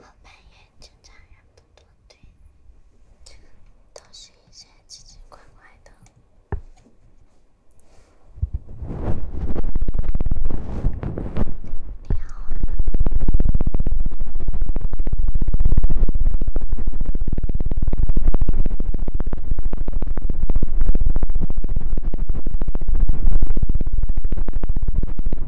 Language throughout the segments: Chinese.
后半夜正常人不多，对，都是一些奇奇怪怪的。你好。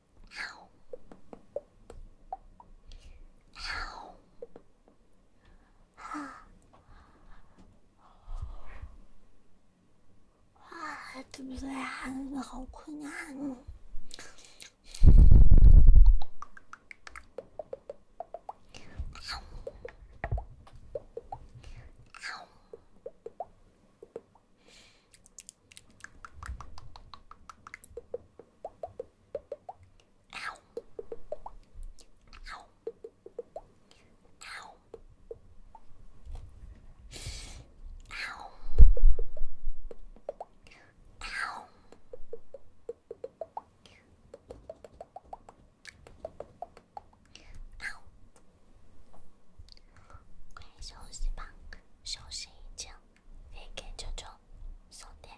啊！啊！啊！对不对好困啊！休息吧，休息一觉，再给啾啾送点。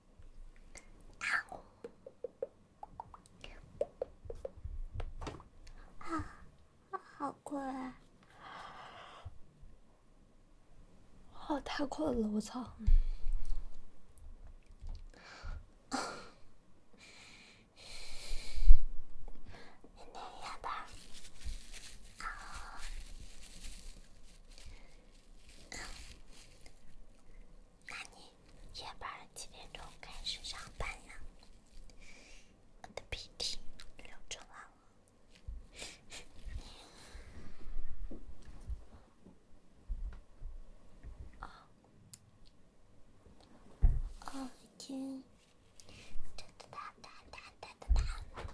啊，好困，好太困了，我操！那你夜班几点钟开始上班呢？我的鼻涕流出来了。啊啊，已经哒哒哒哒哒哒哒哒。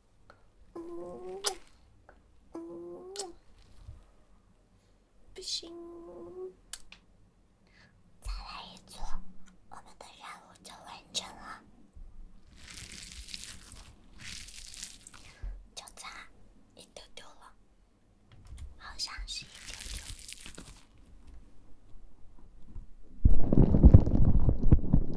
不行，再来一组，我们的任务就完成了，就差一丢丢了，好像是一丢丢。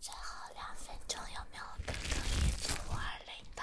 最后两分钟，有没有哥哥一组五二零的？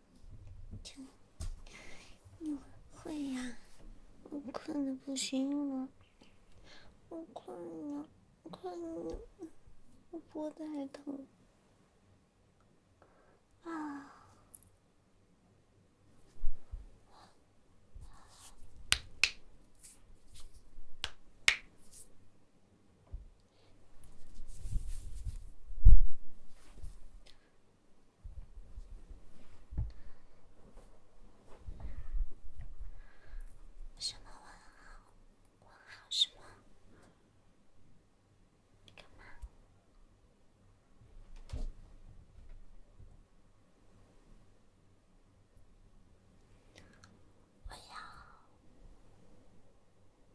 天，我会呀！我困的不行了，我困了，困了，我脖子还疼什么问号？问号什么？干嘛？喂呀？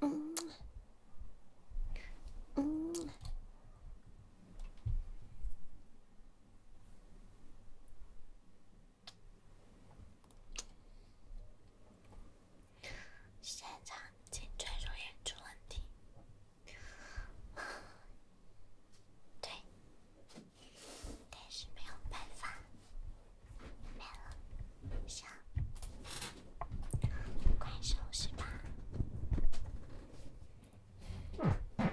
嗯，嗯，现场请专注演出问题。对。但是没有办法，没了，行，快休息吧。哎呀！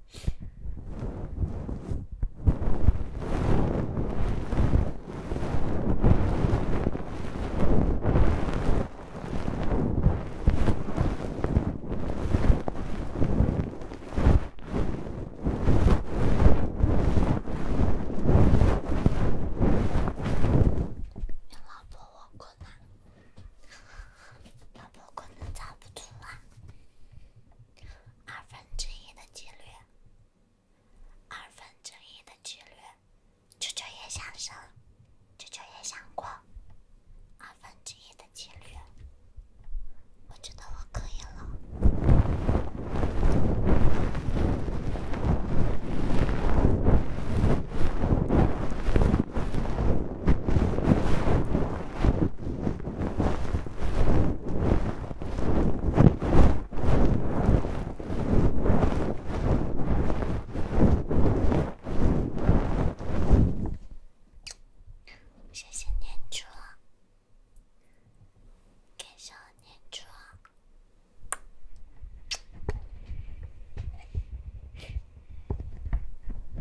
老婆，我困了，二分之一的几率，二分之一的几率，啾啾也想生，啾啾也想过，二分之一的几率，我觉得我可以了。谢谢念珠啊，感谢念珠啊。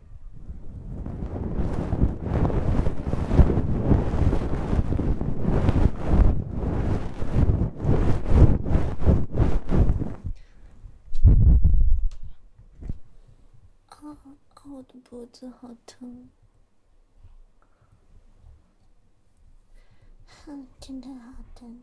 啊，我的脖子好疼，啊，真的好疼。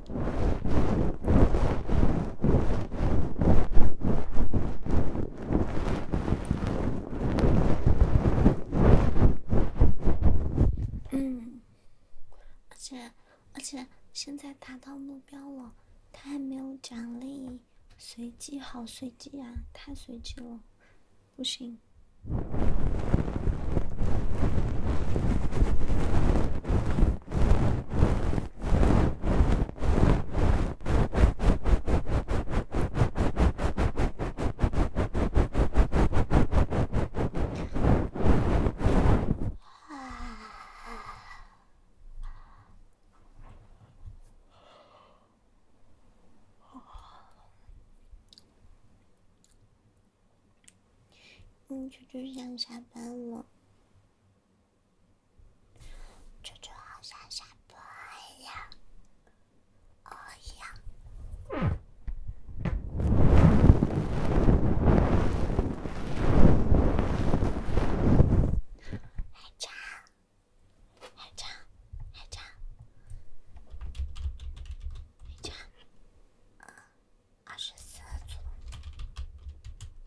嗯，而且，而且现在达到目标了，他还没有奖励，随机好随机啊，太随机了，不行。嗯，舅舅想下班了。猪猪好像波一样，哦样。还唱，还唱，还唱，还唱，二十四组。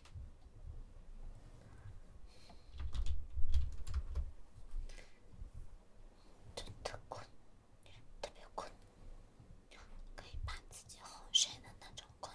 特别困，特别困，可以把自己哄睡的那种困。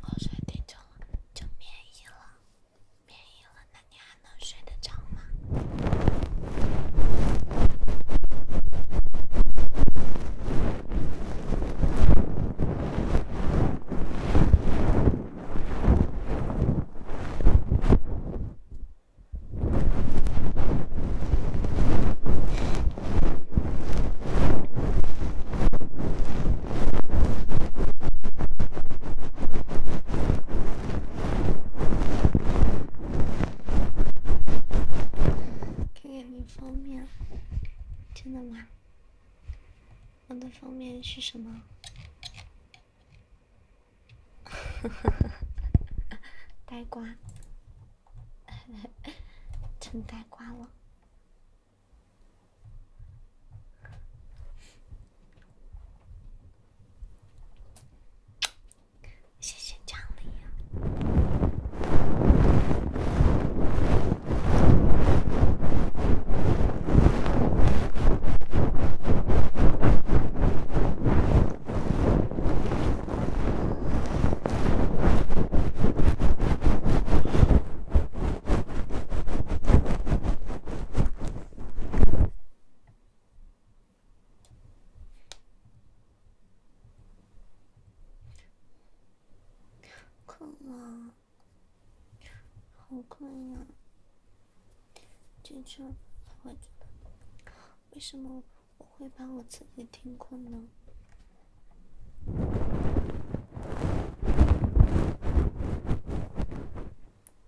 二十天就就变异了。免疫了，那你还能睡得着吗？看看你封面，真的吗？我的封面是什么？呆瓜，成呆瓜了。谢谢张丽。困了，好困呀！姐姐，为什么我会把我自己听困呢？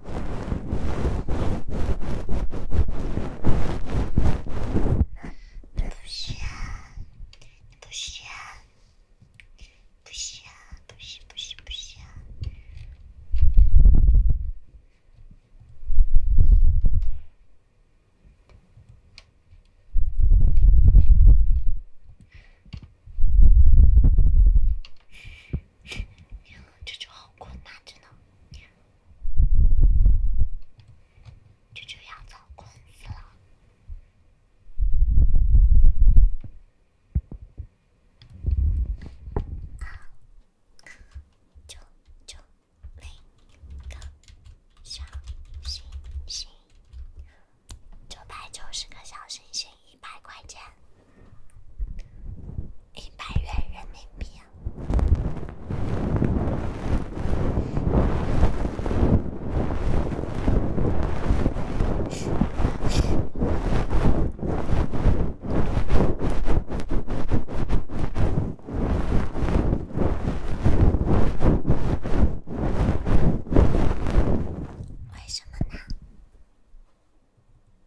不是啊，不是啊，不是啊，不是，不是，不是，不是啊！呀，这就好困难，真的。就舅要造工资了，九九零个小星星，九百九十个小星星，一百块钱。一百元人民币啊！为什么呢？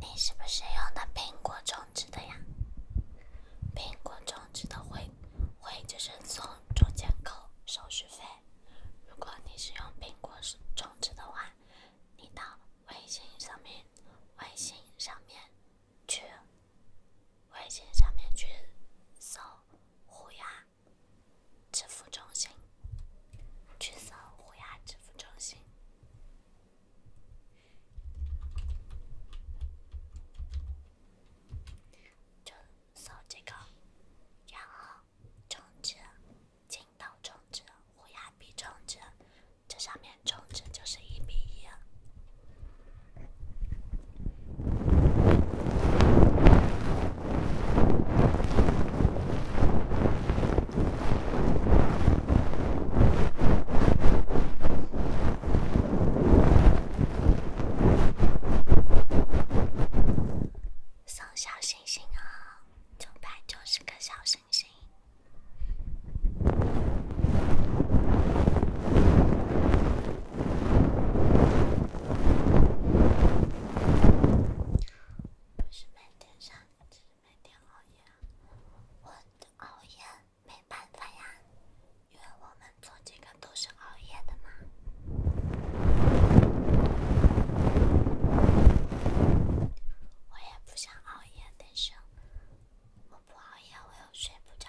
你是不是用的苹果充值的呀？苹果充值的会会就是从中间扣手续费。如果你是用苹果充值的话，你到微信上面，微信上面去，微信上面去搜虎牙。支付中心，去搜虎牙支付中心，就搜这个，然后充值、镜头充值、虎牙币充值，这上面充值就是一比一。送小星星哦，九百九十个小星星。不是每天上，只是每天熬夜。我熬夜没办法呀，因为我们做这个都是熬夜的嘛。我也不想熬夜，但是我不熬夜我又睡不着。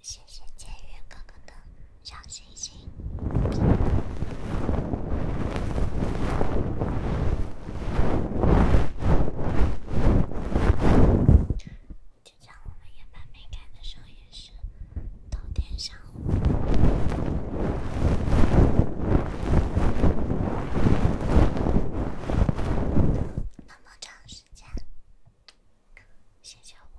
谢谢监狱哥哥的小星星。就我们夜班没开的时候，也是天午。那么长时间，可闲着无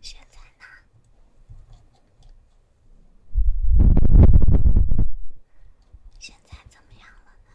现在呢？现在怎么样了呢？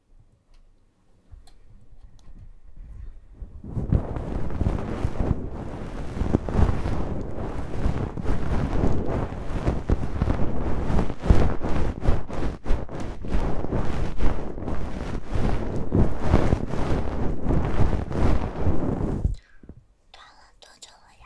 断了多久了呀？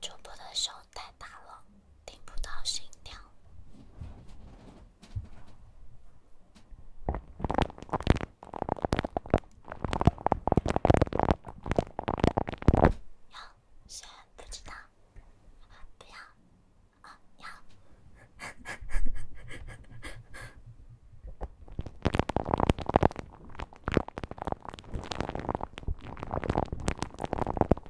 主播的手。太大了，听不到心跳。要，虽然不知道，不要啊，要。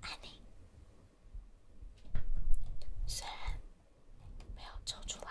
安妮，三，没有抽出来。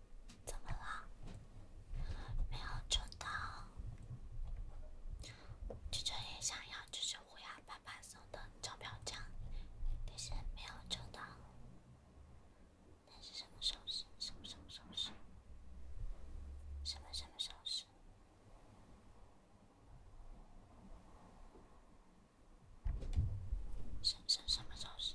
怎么了？没有抽到，舅舅也想要舅舅乌鸦爸爸送的钞票奖，但是没有抽到。那是什么手势？什么什么手势？什么什么手势？什么什么手势？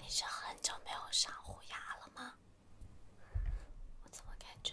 你是很久没有上虎牙了吗？我怎么感觉？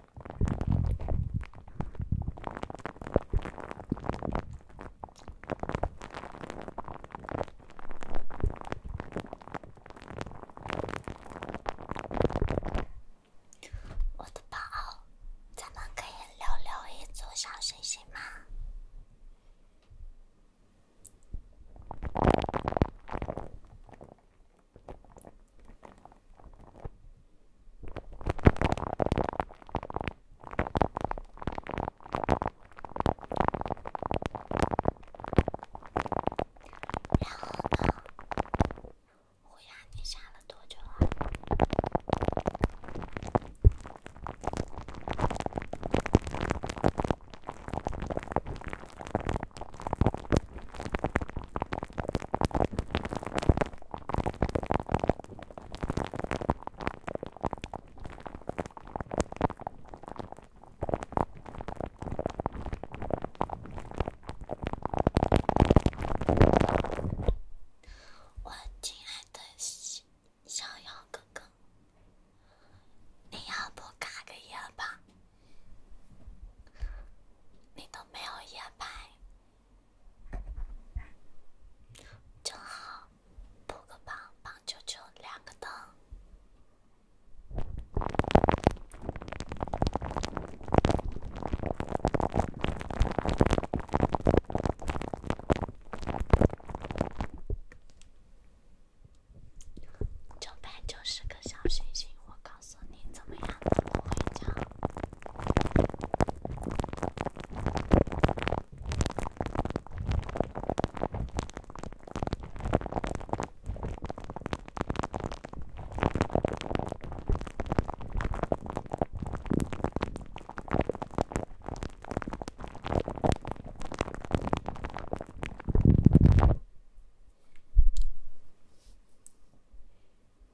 我的宝，咱们可以聊聊一组小星星吗？然后呢？乌鸦你下了多久啊？我亲爱的逍遥哥哥，你要不卡个夜吧？你都没有夜拍。正好，补个棒棒球球，两个灯，九百九十个小星星，我靠！告诉你怎么样怎么回家。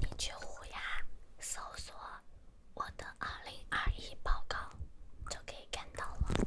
你去虎牙搜索“我的二零二一报告”，就可以看到了。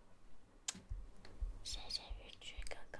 谢谢雨居哥哥。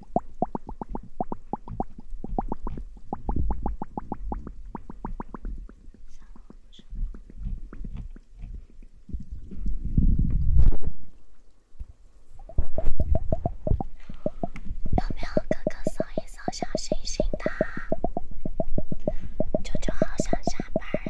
有没有哥哥送一送小星星的？舅舅好想下班啊！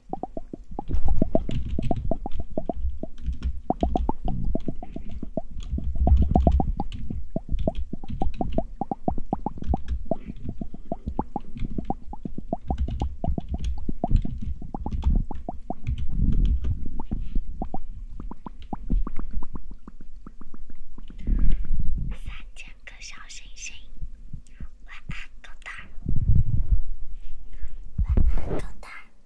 三千颗小星星，晚安，狗蛋。晚安，狗蛋。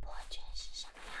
破军是什么呀？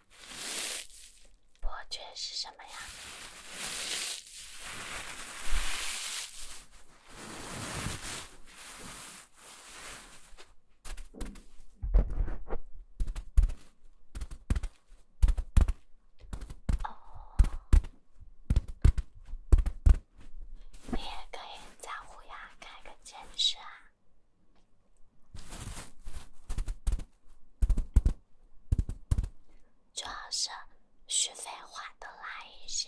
伯爵是什么呀？哦，你也可以在乌鸦开个兼职啊。主要是续费花的那一些。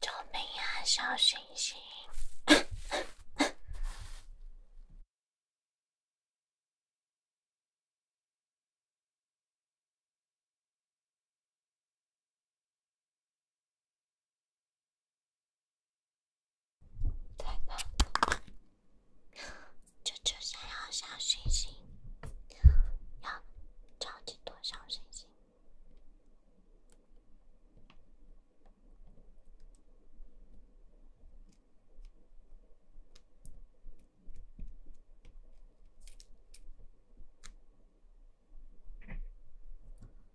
救命啊，小星星！太棒了！想要小星星，要超级多小星星。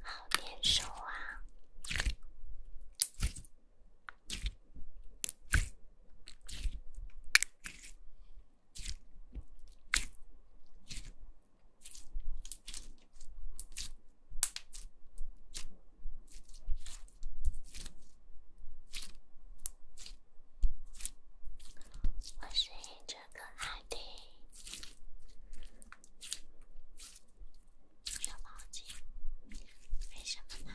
好练手啊！我是一只可爱的小毛巾，没什么呢。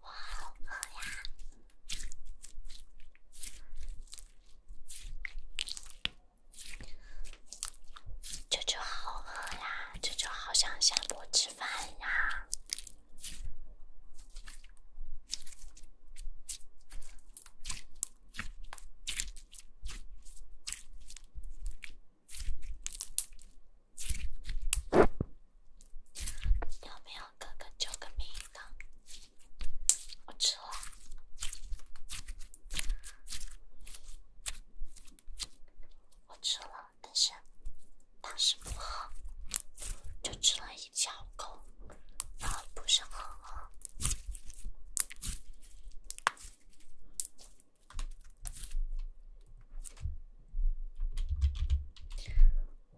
我好饿呀，舅舅好饿呀，舅舅好想下播吃饭呀。有没有哥哥救个命的？我吃了，我吃了，但是当时不饿，就吃了一小口，然后不是很饿。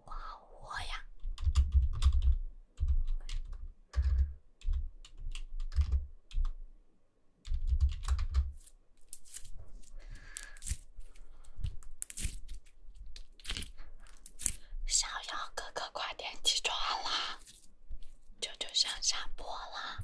我好饿呀！小妖哥哥，快点起床啦，就就想下播啦。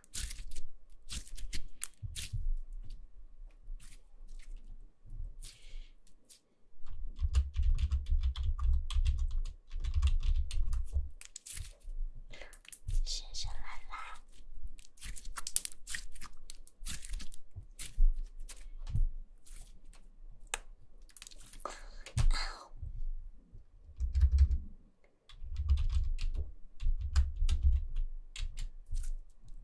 谢谢来啦！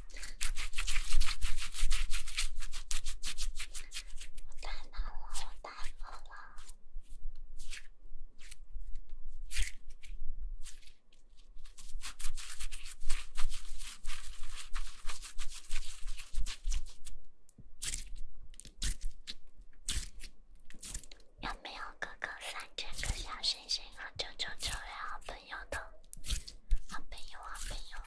我太难了，我太难了。有没有哥哥三千个小星星和九九九呀？朋友，好朋友，好朋友，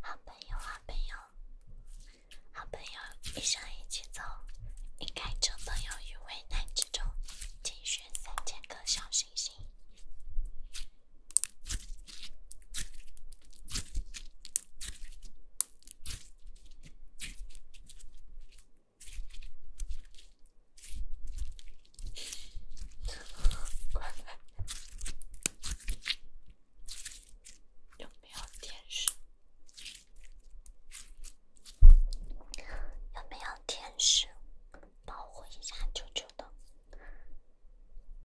好朋友，好朋友，一生一起走。离开这朋友于危难之中，请选三千颗小星星。关麦。有没有天使？有没有天使保护一下舅舅的？